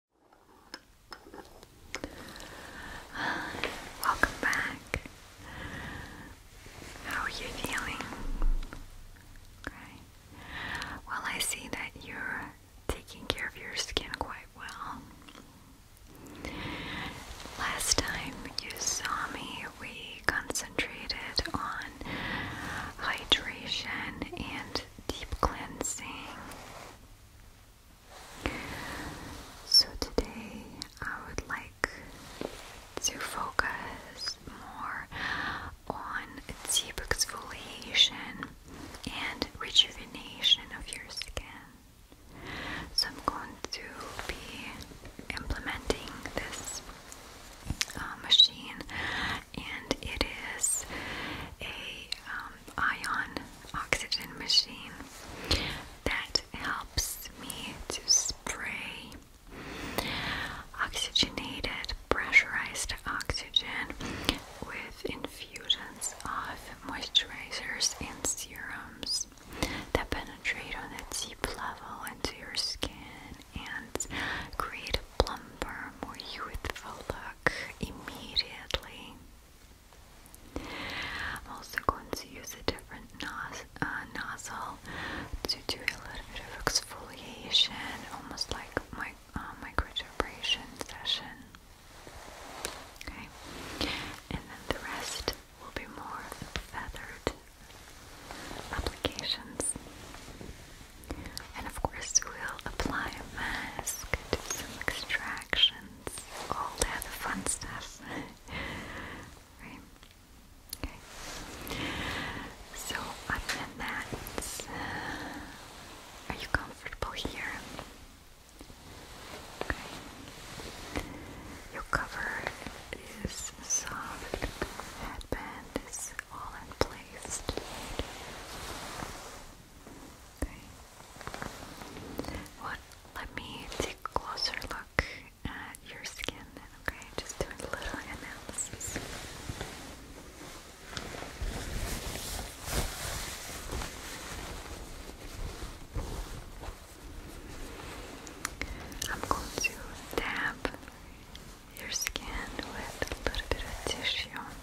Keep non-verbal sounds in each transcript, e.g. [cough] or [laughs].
[sighs] welcome back. How are you feeling? Well, I see that you're taking care of your skin quite well. Last time you saw me, we concentrated on hydration and deep cleansing. So today I would like to focus more on deep exfoliation and rejuvenation of your skin. So I'm going to be implementing this uh, machine, and it is a um, ion oxygen machine that helps me to spray oxygenated, pressurized oxygen with infusions of moisturizers and serums that penetrate on a deep level into your skin and create a plumper, more youthful look immediately. I'm also going to use a different uh, nozzle to do a little bit of exfoliation, almost like my uh, microdermabrasion session. Okay, and then the rest will be more feathered applications. And of course, we'll apply a mask, do some extractions, all the other fun stuff. [laughs] Okay. So, other than that, uh, are you comfortable here? Okay. Your cover is soft, headband is all in place. Okay. Well, let me take a closer look at your skin okay? Just doing a little analysis. I'm going to dab your skin with a little bit of tissue.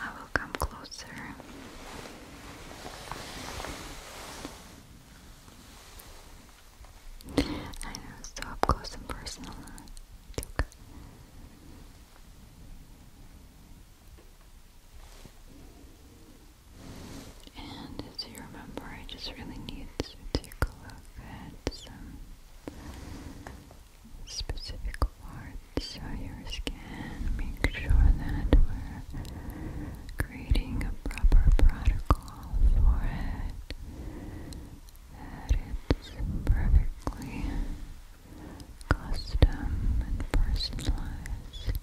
I will come closer. I know, so up close and personal. okay. And as you remember, I just really need to take a look at some specific quartz on your skin. Make sure that we're creating a proper protocol for it. That it's perfectly custom and personalized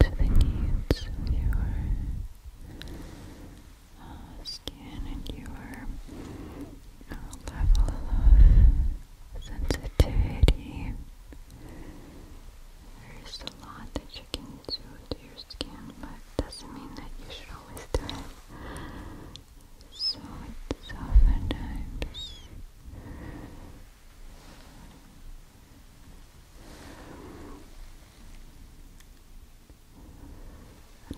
to the needs of your uh, skin and your uh, level of sensitivity. There's a lot that you can do to your skin, but doesn't mean that you should always do it. So it's oftentimes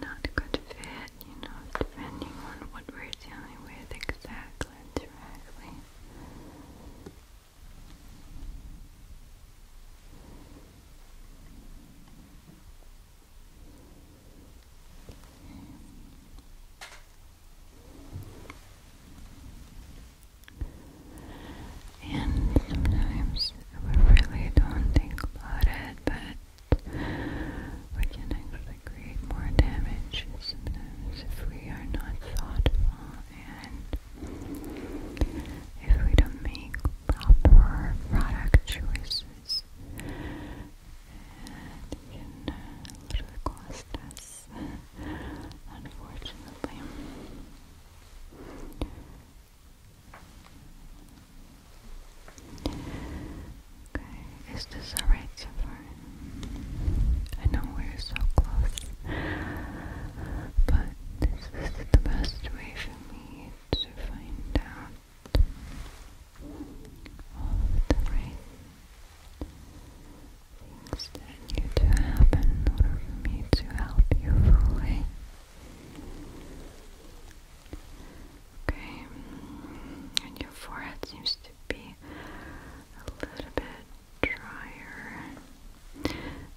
not good fit, you know, depending on what we're dealing with exactly color directly. And sometimes we really don't think about it, but we can actually create more damage if we are not thoughtful and if we don't make proper product choices. it can uh, cost us, unfortunately. Okay, is this alright so far? I know we're so close, but this is the best way for me to find out all of the right things need to happen in order for me to help you fully. Okay, and your forehead seems to be a little bit drier.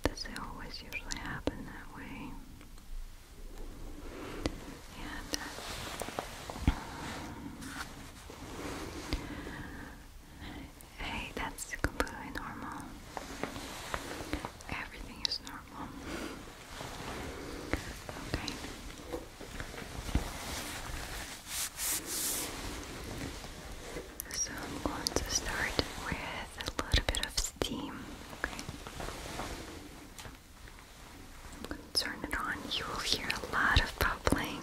Does always usually happen that way? Uh, hey, that's completely normal. Everything is normal. Okay. So I'm going to start with a little bit of steam. I'm going to turn it on. You will hear a lot of bubbling,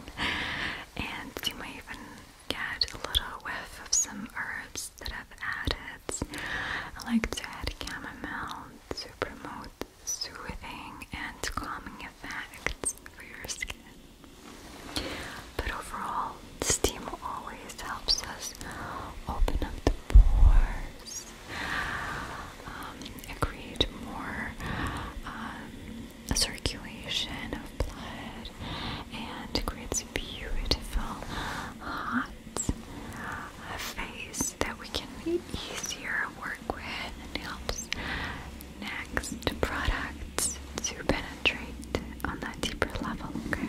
and you may even get a little whiff of some herbs that I've added. I like to add chamomile to promote soothing and calming effects for your skin. But overall, steam always helps us open up the pores um, and create more um, circulation of blood and creates a beautiful hot face that we can easier work with and helps next products to penetrate on that deeper level, okay?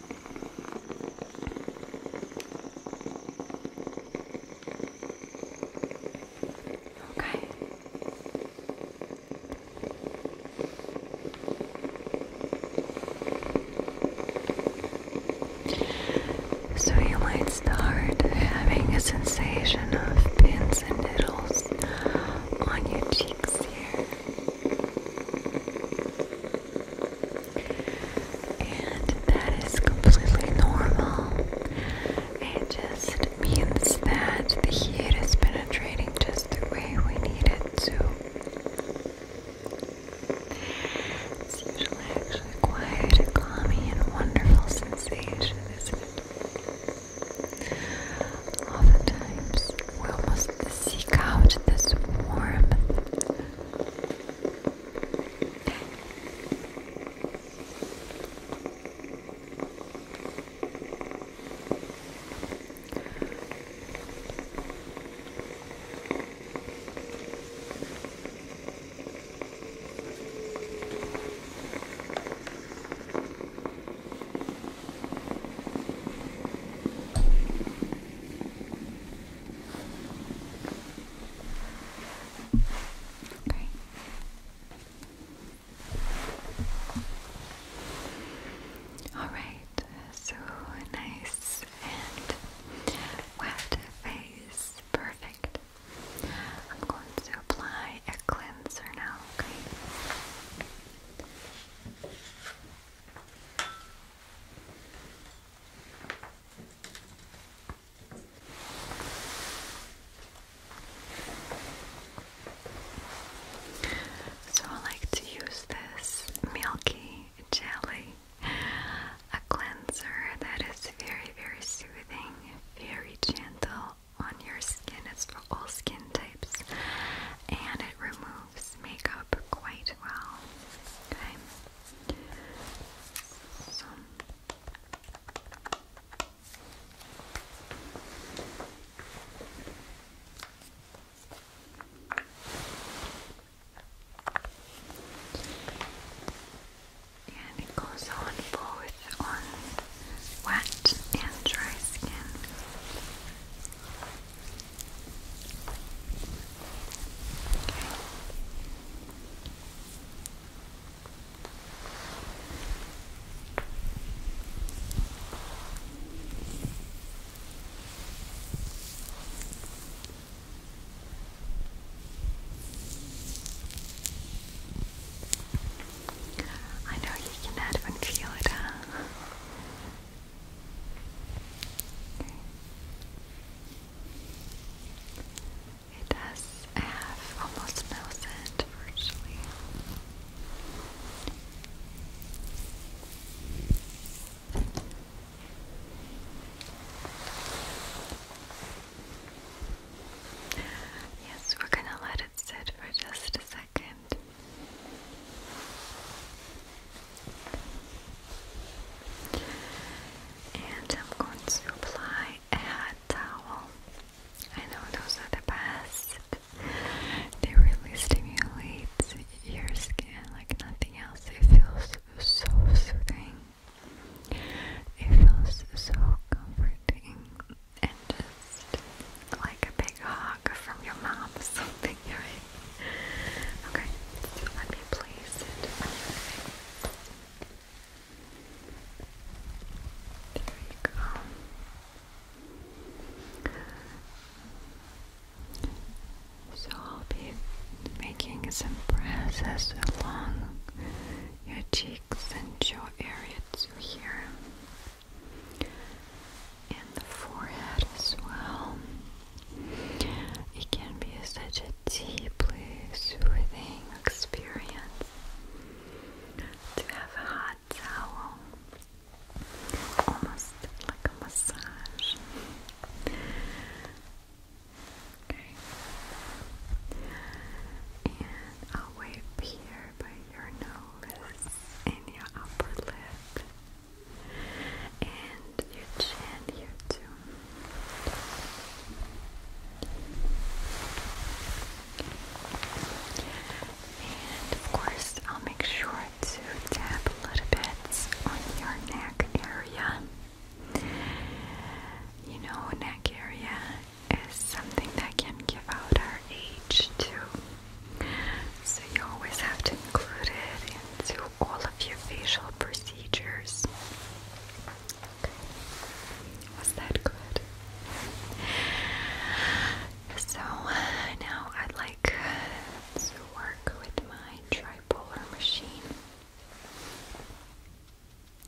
Okay. So you might start having a sensation of pins and needles on your cheeks here. And that is completely normal. It just means that the heat is penetrating just the way we need it to. It's usually actually quite a calming and wonderful sensation, isn't it? Oftentimes, we almost seek out this warmth. Okay. All right, so nice and wet face, perfect. I'm going to apply a cleanser now, okay? So I like to use this milky jelly, a cleanser that is very, very soothing, very gentle on your skin. It's for all skin types, and it removes themselves make up quite well. Okay. So. And it goes on both on wet and dry skin. I know you can even feel it, it does have almost no virtually. Yes, we're going to let it sit for just a second. And I'm going to apply a hot towel. I know those are the best. They really stimulate your skin like nothing else. It feels so soothing. It feels so comforting and just like a big hug from your mom something, [laughs] Okay, so let me place it There you go. So I'll be making some presses along your cheeks and jaw area to here and the forehead as well. It can be such a deeply soothing experience to have a hot towel, almost like a massage. Okay. And I'll wipe here by your nose and your upper lip and your chin here too. And of course, I'll make sure to tap little bit on your neck area. You know, neck area is something that can give out our age too. So you always have to include it into all of your facial procedures. Was that good? So now i like to work with my tripolar machine.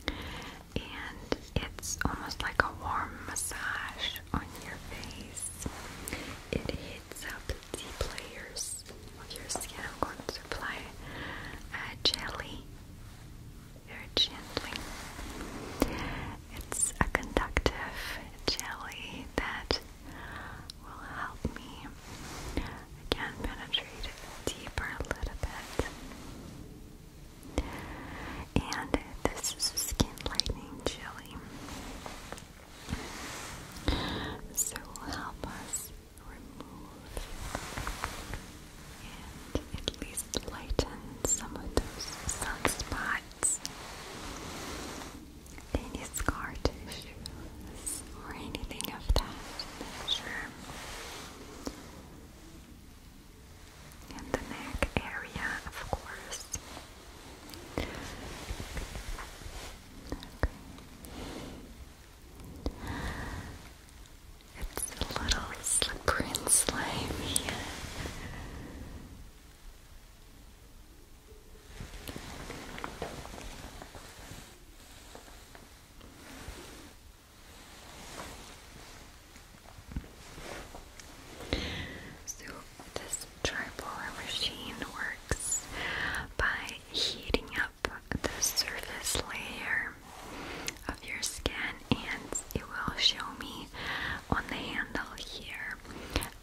And it's almost like a warm massage on your face. It heats up deep layers of your skin. I'm going to apply uh, jelly very gently. It's a conductive jelly that will help me again penetrate deeper a little bit. And this is skin lightening jelly. So will help us remove and at least lighten some of those sunspots, any scar tissues, or anything of that nature. And the neck area, of course. Okay. It's a little slippery and slimy. So, this triple machine works by heating up the surface layer of your skin, and it will show me on the handle here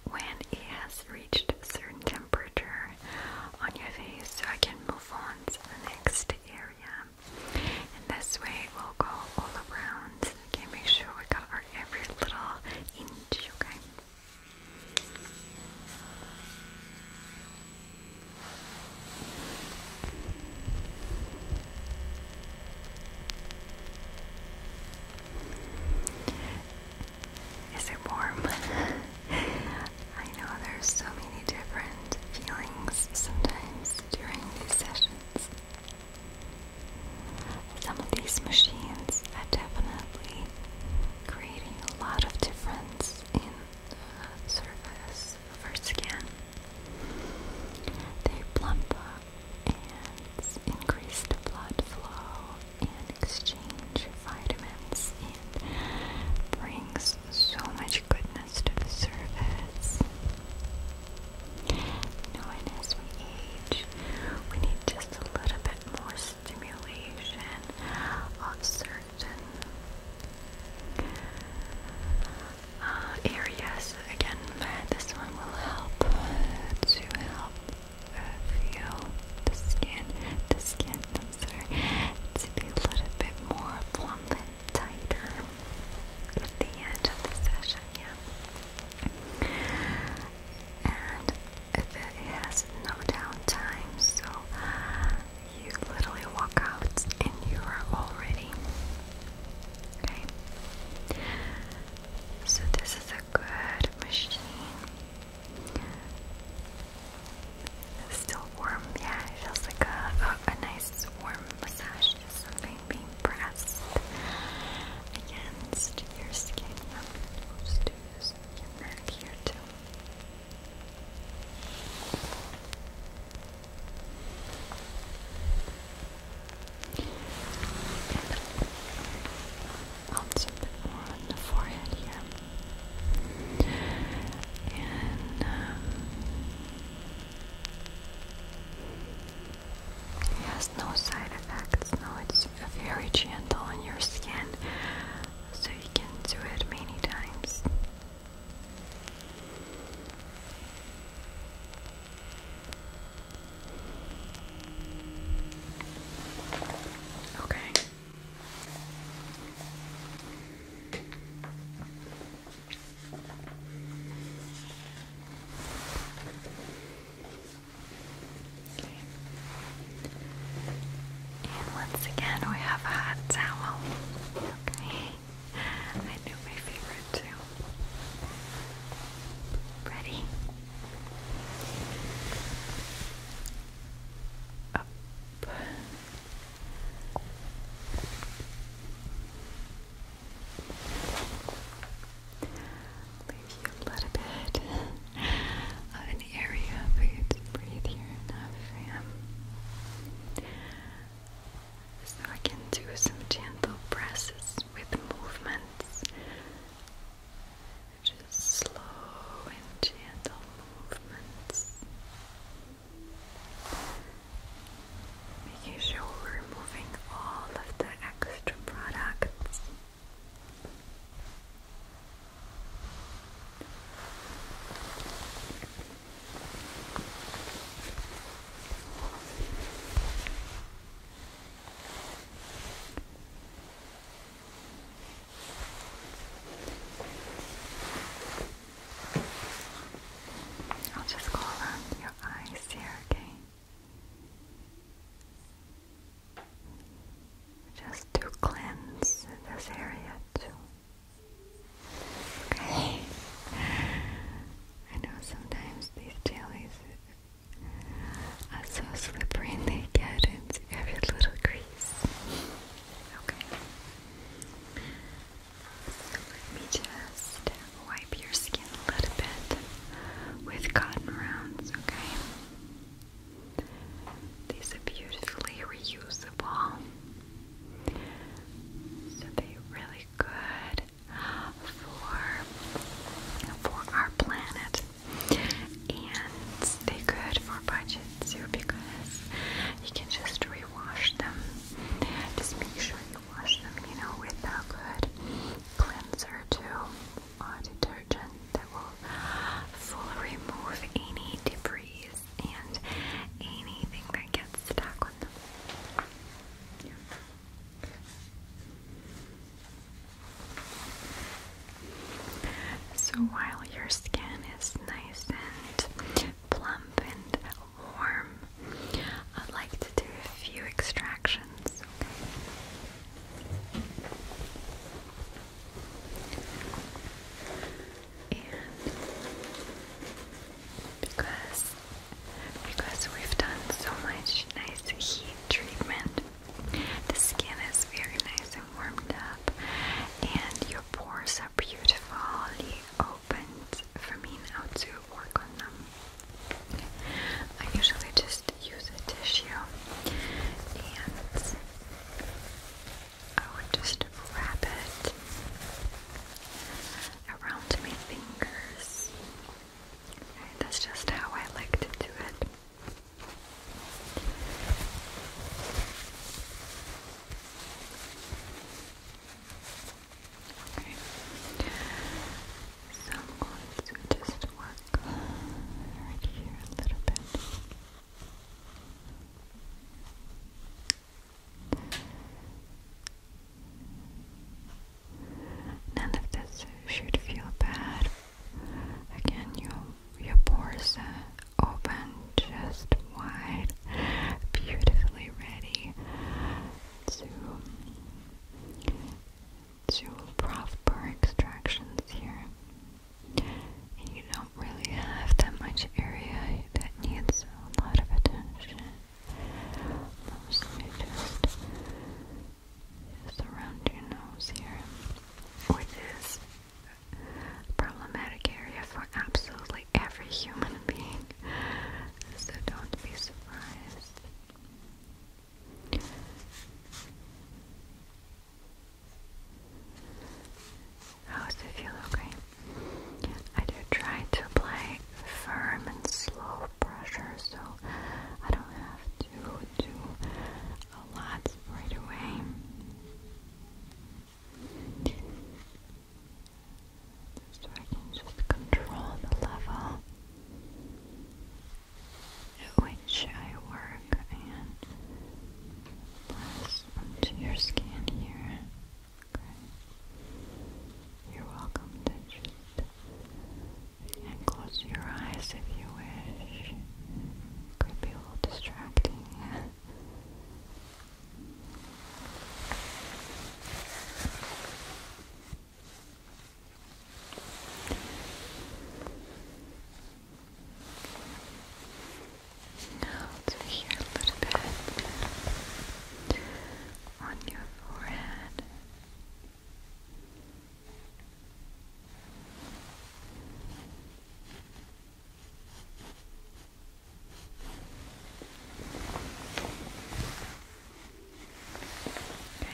when it has reached a certain temperature on your face, so I can move on to the next area. And this way it will go all around. Okay, make sure we cover every little inch, okay? Is it warm? [laughs] I know there's so many different feelings sometimes during these sessions. Some of these machines are definitely creating a lot of difference in the surface of our skin. They plump up and increase blood flow and exchange vitamins and brings so much goodness to the surface. You as we age, we need just a little bit more stimulation of certain uh, areas. Again, this one will help to help uh, feel the skin, the skin, I'm sorry, to be a little bit more plump and tighter at the end of the session, yeah and it has no downtime, so you literally walk out and you are already okay. So, this is a good machine. It's still warm, yeah, it feels like a, a, nice warm massage, just something being pressed against your skin. I'm to do this your neck also a bit more on the forehead here. And um, no side effects, no, it's is very gentle on your skin, so you can do it many times. Okay. And once again, we have a hot towel. Okay. I knew my favorite too. Ready? Up a little bit of an area for you to breathe here enough, So I can do some gentle presses with movements. Just slow and gentle movements. Making sure we're removing all of the extra products I'll just call on your eyes here, okay? Just to cleanse this area too. Okay. I know sometimes these jellies are so slippery they get into every little crease. Okay. So let me just wipe your skin a little bit with cotton rounds, okay? These are beautifully reusable. So they're really good for, for our planet. And they're good for budget too because you can just rewash them. Just make sure you wash them, you know, with a good cleanser too uh, detergent that will fully remove any debris and anything that gets stuck on So while your skin is nice and plump and warm, I'd like to do a few extractions. And because because we've done so much nice heat treatment, the skin is very nice and warmed up, and your pores are beautifully opened for me now to work on them. I usually just use a tissue and I would just wrap it around my fingers. that's just how I like to do it. Okay. So I'm going to just work right here a little bit. None of this should feel bad. Again, your your pores are open, just wide, beautifully ready to two proper extractions here. And you don't really have that much area that needs a lot of attention. Mostly just, just around your nose here, which is problematic area for absolutely every human being. So don't be surprised. How's it feel? Okay. I do try to apply firm and slow pressure so I don't have to do a lot right away. So I can just control the level which I work and press onto your skin here. You're welcome to just and close your eyes if you wish. Could be a little distracting. [laughs] Now to here a little bit on your forehead. Okay.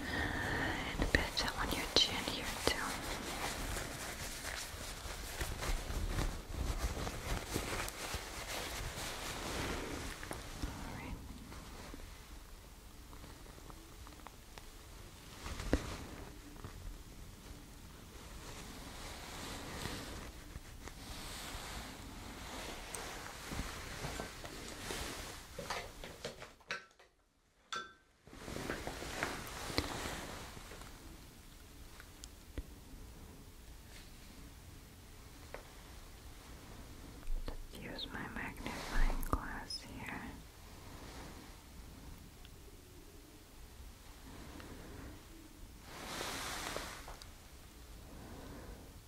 And a bit on your chin here too. Just use my magnifying glass here.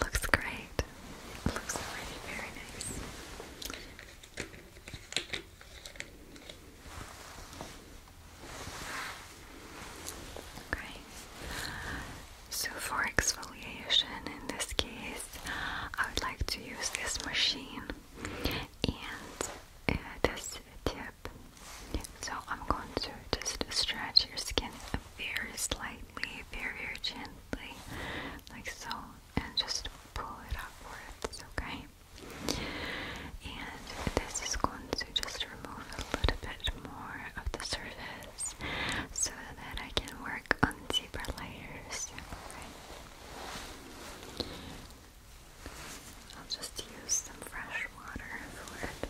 looks great. looks already very nice. Okay. So for exfoliation in this case, I would like to use this machine and uh, this tip so I'm going to just stretch your skin very slightly, very, very gently, like so, and just pull it upwards, okay? And this is going to just remove a little bit more of the surface so that I can work on deeper layers. Okay. I'll just use some fresh water for it.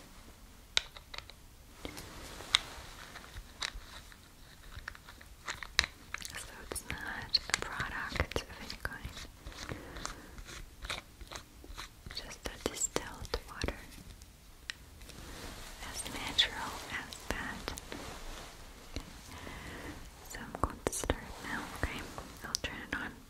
So it's not a product of any kind, just distilled water, as natural as that. So I'm going to start now, okay? I'll turn it on.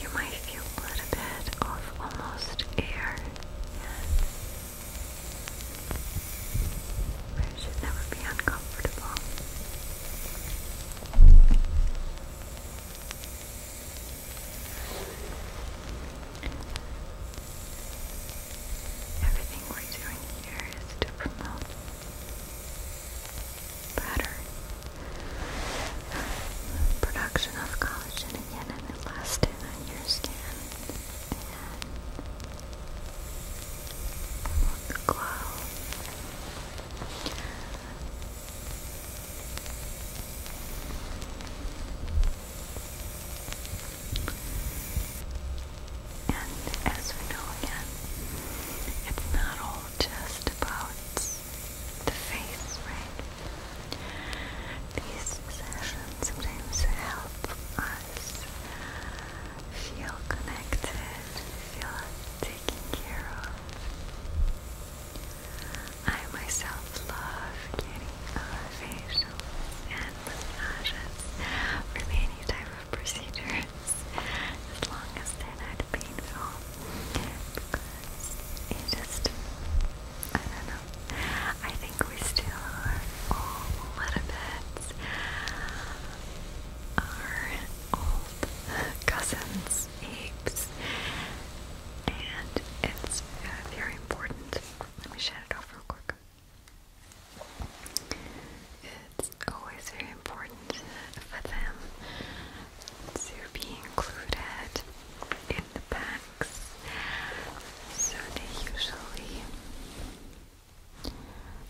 You might feel a little bit of almost air. Where it should never be uncomfortable. Everything we're doing here is to promote better production of collagen and elastin on your skin and glow. And as we know again, it's not all just about the face, right? These sessions sometimes help us feel connected, feel taken care of. I myself love getting a facial and massages from any type of procedures as long as they're not painful because it just, I don't know I think we still are all little bit our old cousins, apes and it's very important let me shut it off real quick it's always very important for them to be included in the packs, so they usually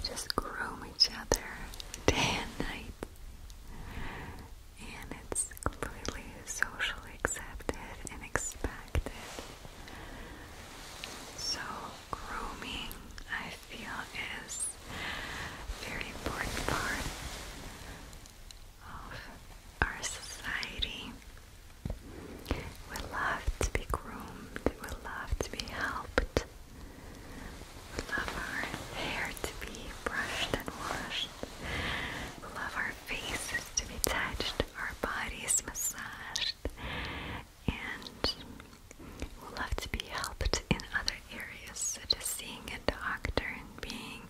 just groom each other [laughs] day and night, and it's completely socially accepted and expected. So, grooming, I feel, is very important part of our society. We love to be groomed, we love to be helped, we love our hair to be brushed and washed, we love our faces to be touched, our bodies massaged, and we'll love to be helped in other areas, such as seeing a doctor and being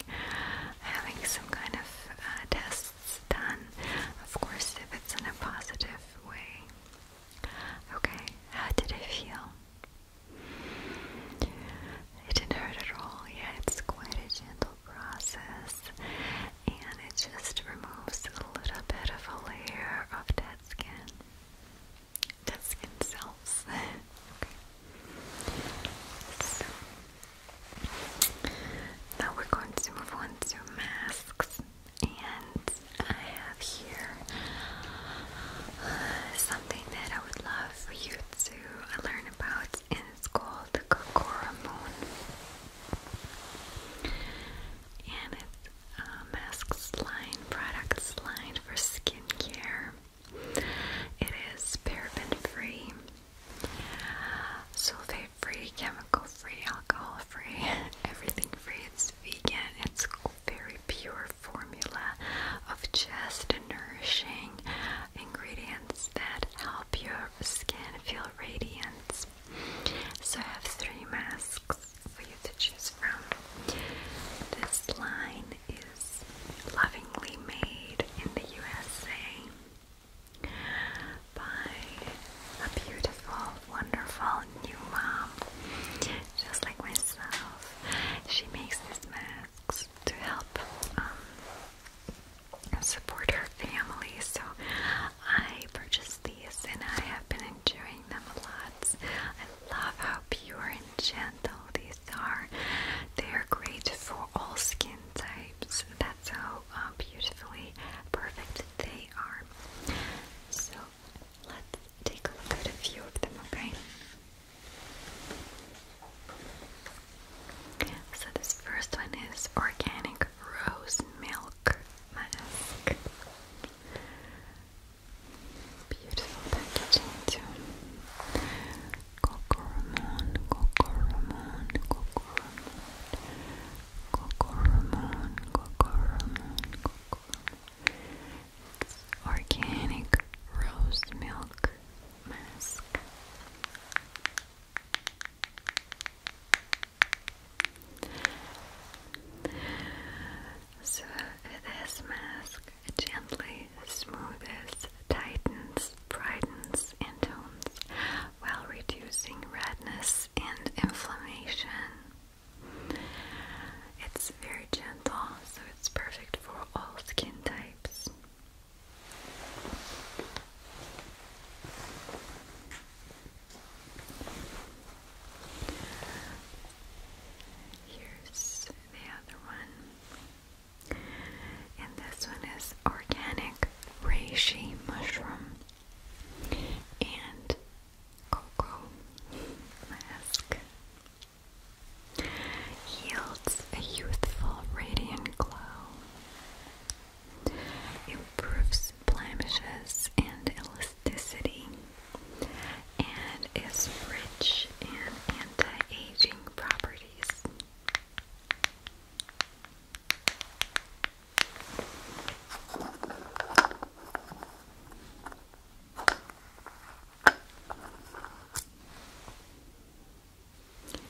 having some kind of uh, tests done. Of course, if it's in a positive way. Okay, how did it feel? It didn't hurt at all. Yeah, it's quite a gentle process and it just removes a little bit of a layer of dead skin, dead skin cells. [laughs] okay. now we're going to move on to masks, and I have here uh, something that I would love for you to learn about it's called the Kokora Moon. And it's a uh, masks line, products line for skincare. It is paraben free, sulfate free, chemical free, alcohol free, [laughs] everything free. It's vegan, it's very pure formula of just nourishing ingredients that help your skin feel radiant. So I have three masks for you to choose from. This line is lovingly made in the USA by a beautiful, wonderful new mom, just like myself. She makes these masks to help um, support her family. So I purchased these and I have been enjoying them a lot. I love how pure and gentle these are. They are great for all skin types. That's how uh, beautifully perfect they are. So let's take a look at a few of them, okay? So this first one is organic rose milk mask. Beautiful packaging too. Cocoromon, Cocoromon, Cocoromon, Cocoromon, Cocoromon, It's organic rose milk mask. So this mask, gently smooths, tightens, brightens, and tones while reducing redness and inflammation. It's very gentle, so it's perfect for all skin types. Here's the other one. And this one is organic reishi mushroom and cocoa mask. Yields a youthful, radiant glow improves blemishes and elasticity, and is rich in anti-aging properties.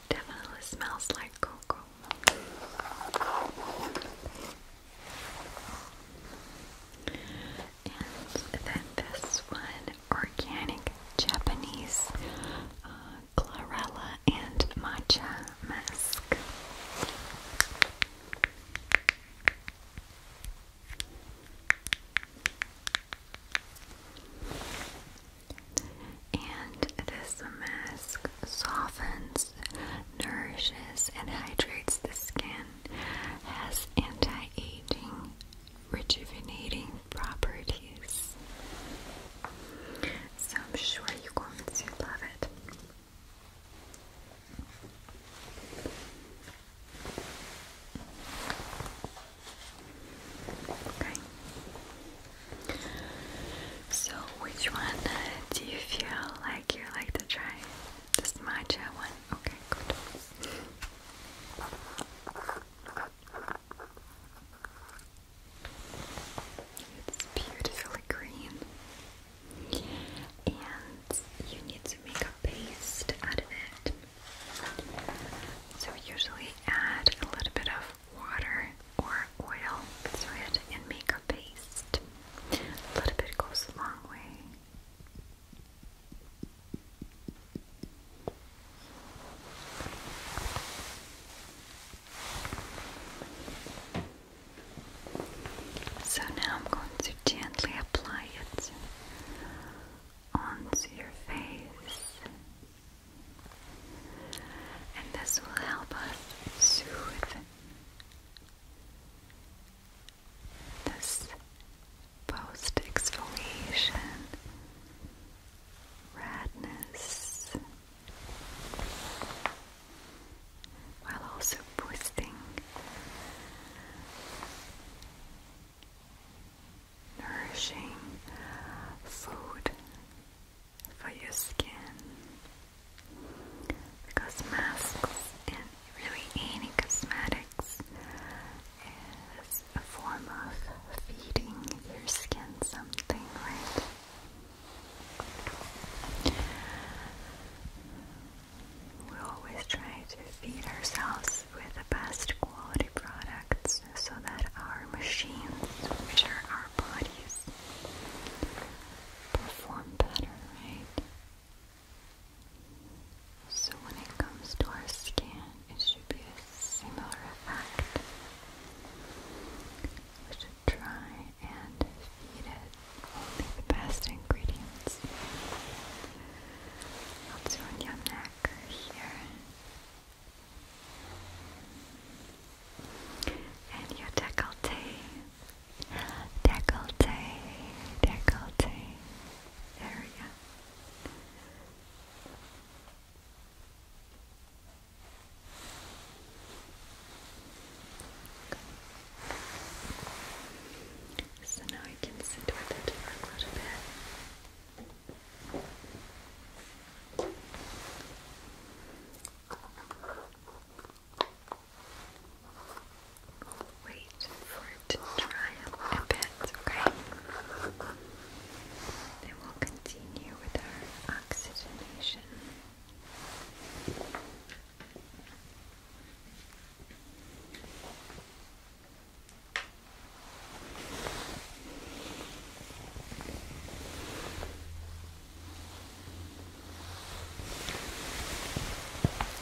Definitely smells like cocoa. And then this one, organic Japanese uh, chlorella and matcha mask. And this mask softens, nourishes, and hydrates the skin, has anti aging, rejuvenating properties. So I'm sure you're going love it. Okay. So, which one uh, do you feel like you like to try? This matcha one? Okay, good. It's beautifully green. And you need to make a paste out of it. So, usually add a little bit of water or oil, throw it and make a paste. A little bit goes a long way. So now I'm going to gently apply it onto your face. And this will help us soothe this post exfoliation redness while also boosting nourishing food for your skin because masks and really any cosmetics is a form of feeding your skin something, right? We always try to feed ourselves with the best quality products so that our machines, which are our bodies, perform better, right? So when it comes to our skin, it should be a similar effect. We should try and feed it only the best ingredients. I'll do on your here and your decollete, decollete, decollete area. So now I can sit with it for a little bit. Wait for it to dry a bit, okay? Then we'll continue with our oxygenation.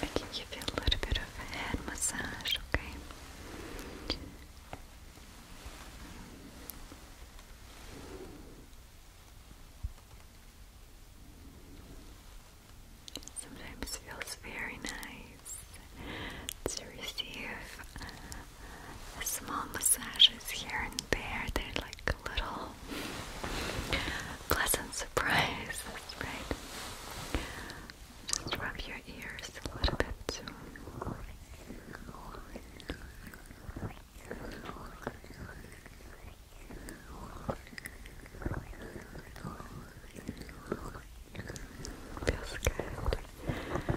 I can give you a little bit of a head massage, okay? Sometimes feels very nice to receive uh, small massages here and there. They're like little pleasant surprises, right? Just rub your ears a little bit too. Feels good.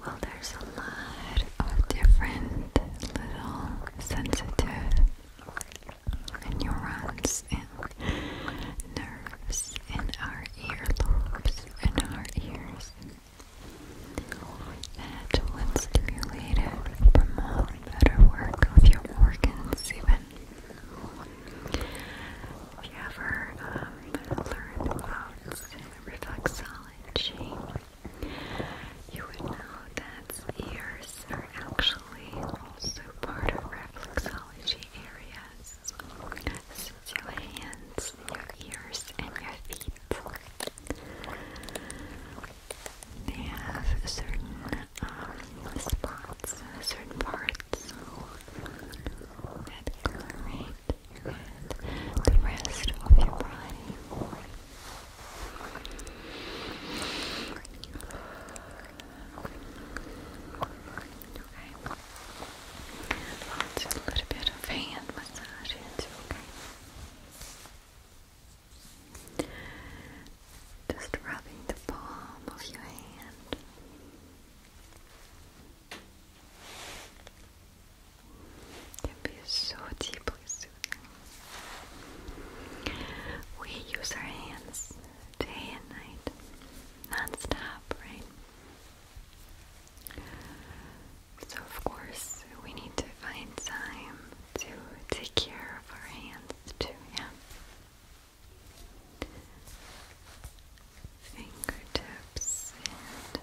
Well, there's a lot of different little sensitive neurons and nerves in our earlobes and our ears that when stimulated promote better work of your organs even. if you ever um, learned about reflexology? You would know that ears are actually also part of reflexology areas. Since your hands, your ears, and your feet. They have certain um, spots, certain parts that coloring and the rest of your body. Okay. i a little bit of hand massage okay? Just rubbing the palm of your hand can be so deeply soothing. We use our hands day and night, non-stop, right? So of course we need to find time to take care of our hands too, yeah. Fingertips and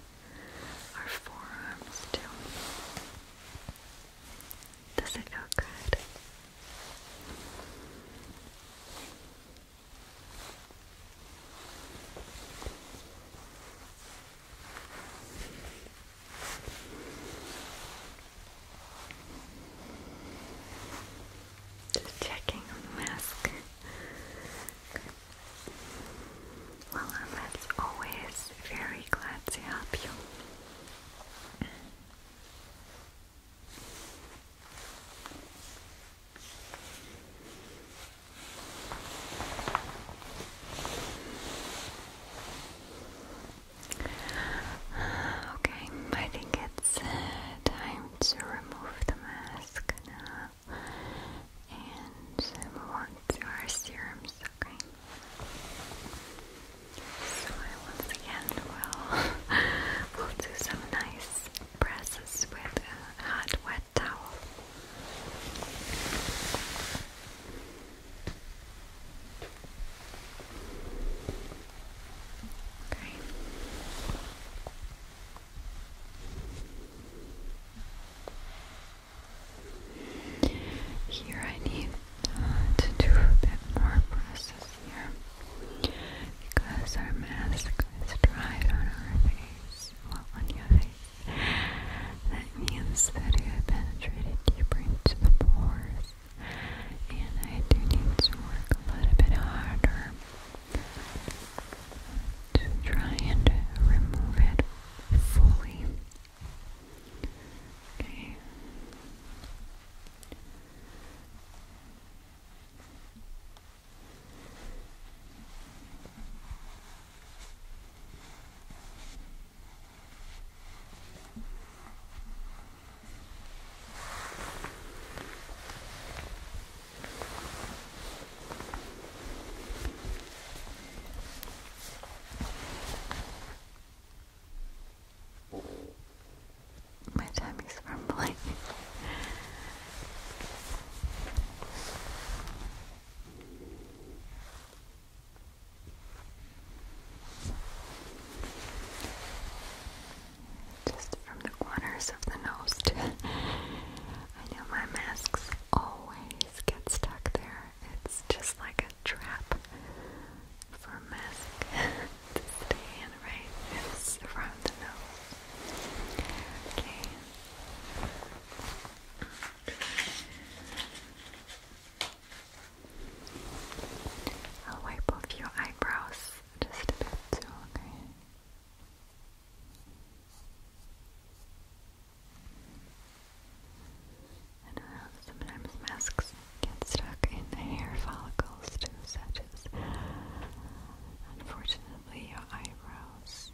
our forearms too. Does it feel good? Just checking on the mask. Well, I'm always very glad to help you. Okay, I think it's uh, time to remove the mask now and move on to our serums, okay? So once again will [laughs] we'll do some nice presses with a hot wet towel. Okay. Here I need uh, to do a bit more process here because our mask is dried on our face, well on your face. That means that it had penetrated deeper into the pores and I do need to work a little bit harder to try and remove it fully. Okay. My tummy's rumbling. Just from the corners of the nose, [laughs] I know my mask's always get stuck there. It's just like a trap for mist [laughs] stay in, right? It's from the nose. Okay. I'll wipe off your eyebrows just a bit too, okay? I know sometimes masks get stuck in the hair follicles such as unfortunately your eyebrows.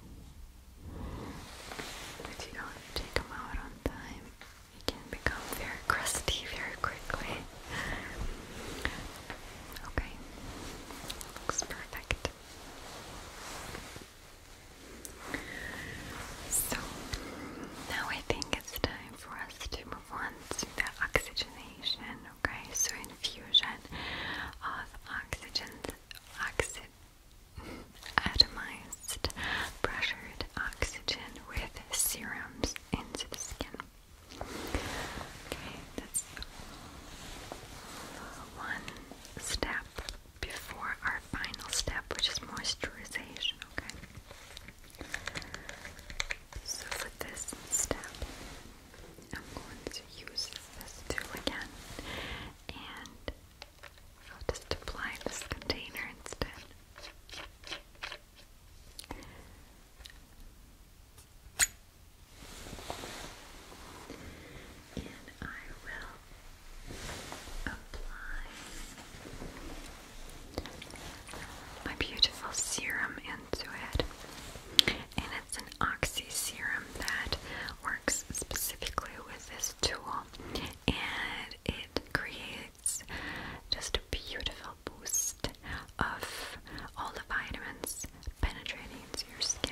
If you don't take them out on time, it can become very crusty very quickly. Okay, looks perfect. So now I think it's time for us to move on to the oxygenation. Okay, so infusion of oxygen, atomized, pressured oxygen with serums into the skin. Okay, that's one step before our final step, which is moisturization, okay? So for this step, I'm going to use this tool again, and I'll just apply this container instead and I will apply my beautiful serum into it. And it's an Oxy serum that works specifically with this tool, and it creates just a beautiful boost of all the vitamins penetrating into your skin.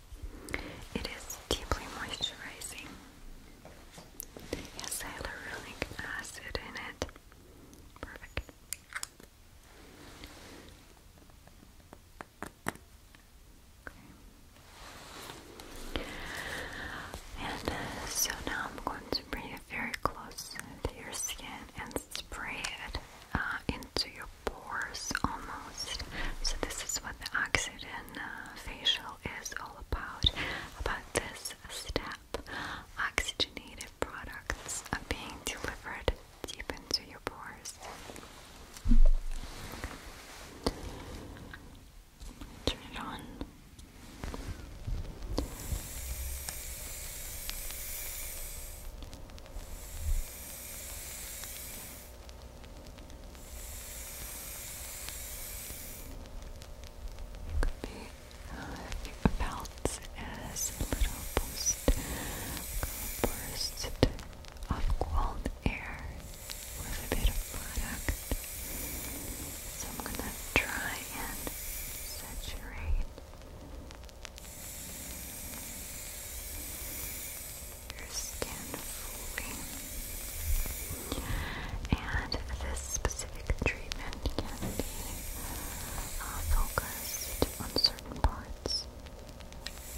It is deeply moisturizing. It has hyaluronic acid in it. Perfect. And uh, so now I'm going to bring it very close to your skin and spray it uh, into your pores almost. So, this is what the oxidant uh, facial is all about. About this step, oxygenated products are being delivered deep into your pores. Turn it on. Could be uh, felt a little boost, burst of cold air with a bit of product. So I'm gonna try and saturate your skin fully. And this specific treatment can be uh, focused on certain parts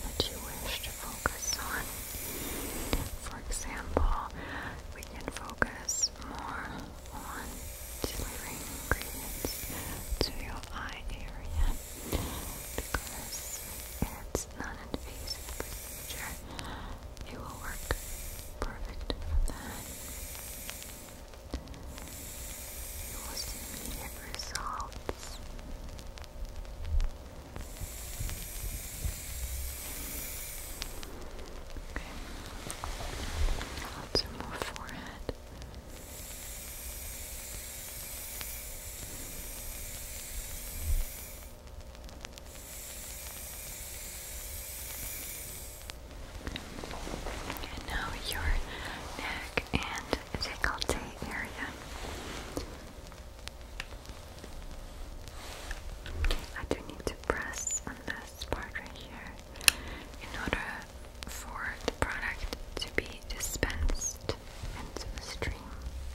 that you wish to focus on. For example, we can focus more on delivering ingredients to your eye area because it's is invasive procedure. It will work perfect You will see immediate results. Okay. Lots more forehead. And now your neck and décolleté area. I do need to press on this part right here in order for the product to be dispensed into the stream.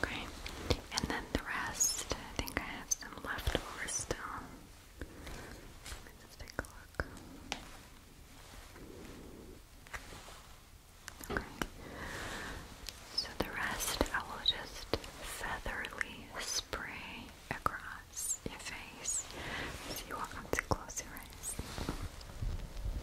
Okay, and then the rest, I think I have some left over still. Let's take a look. Okay, so the rest I will just featherly spray across your face. So you won't come close your eyes.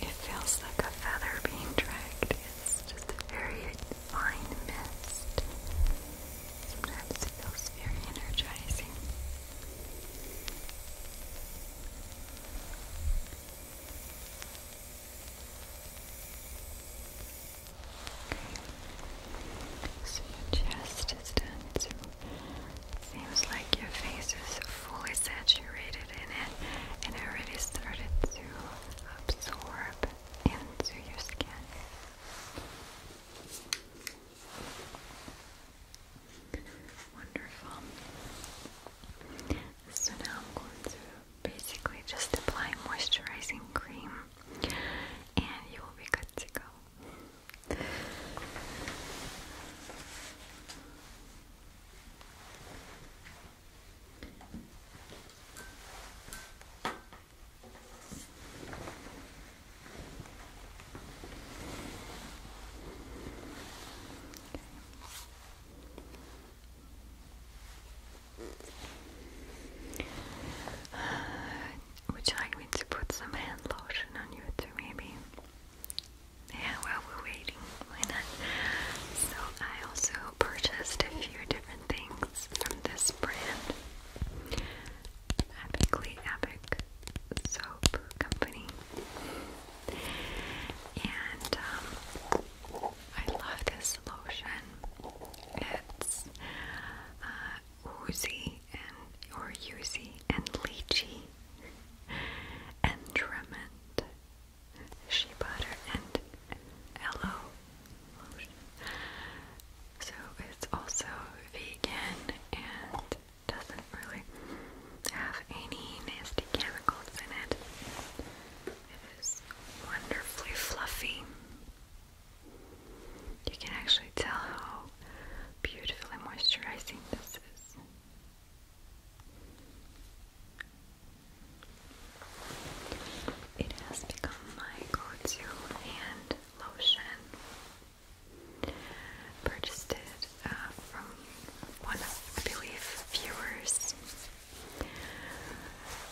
It feels like a feather being dragged. It's just a very fine mist. Sometimes it feels very energizing. So your chest is done. Seems like your face is fully saturated in it and it already started to absorb into your skin. Wonderful. So now I'm going to basically just apply moisturizing cream and you will be good to go. Would you like me to put some hand lotion on you too, maybe? Yeah, while we're waiting, why not? So I also purchased a few different things from this brand. Epically Epic Soap Company. And um, I love this lotion. It's uh, oozy and or oozy and lychee and trement, shea butter and aloe lotion. So it's also vegan and doesn't really have any nasty chemicals in it. It is wonderfully fluffy. You can actually tell how beautifully moisturizing this is. It has become my go-to hand lotion. Purchased it uh, from one of, I believe, viewers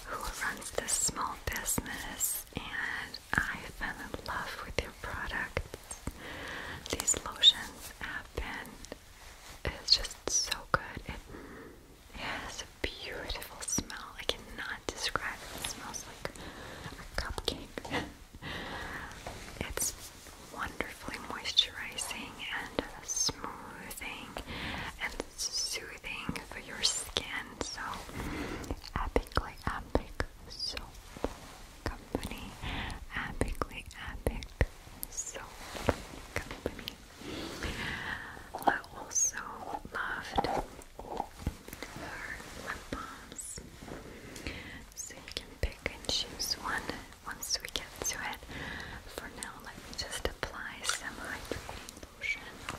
who runs this small business, and I fell in love with your product. These lotions have been, it's just so good. It, has a beautiful smell. I cannot describe it. It smells like a cupcake. [laughs] it's wonderfully moisturizing and smoothing and soothing for your skin. So epically epic soap company, epically epic soap company. I also loved her lip balms, so you can pick and choose one once we get to it. For now, let me just apply some hydrating lotion on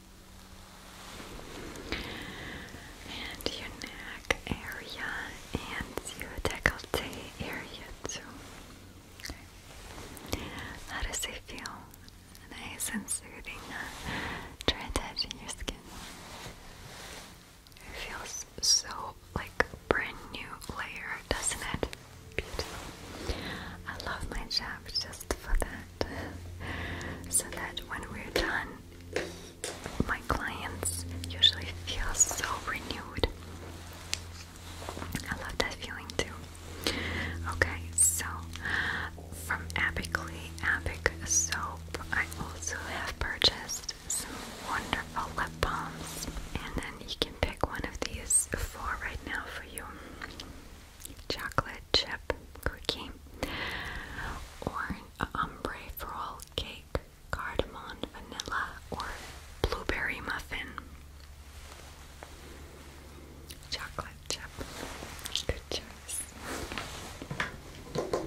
and your neck area and your decollete area too. How does it feel? Nice and soothing. Try uh, touching your skin. It feels so like brand new layer, doesn't it? Beautiful. I love my job just for that so that when we're done, my clients usually feel so renewed. I love that feeling too. Okay, so from Epically Epic Soap, I also have purchased some wonderful lip balms, and then you can pick one of these four right now for your chocolate, chocolate chip cookie, or an ombre frole cake, cardamom vanilla, or blueberry muffin. Chocolate chip. Good choice. Okay.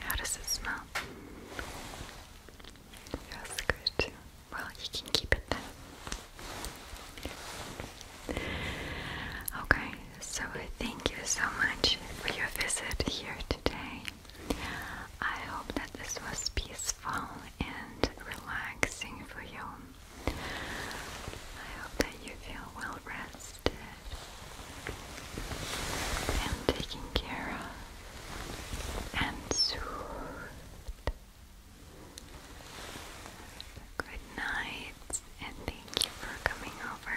How does it smell? Feels good Well, you can keep it then. Okay, so thank you so much for your visit here today. I hope that this was peaceful and relaxing for you. I hope that you feel well rested and taken care of and soothed. Good night, and thank you for coming over.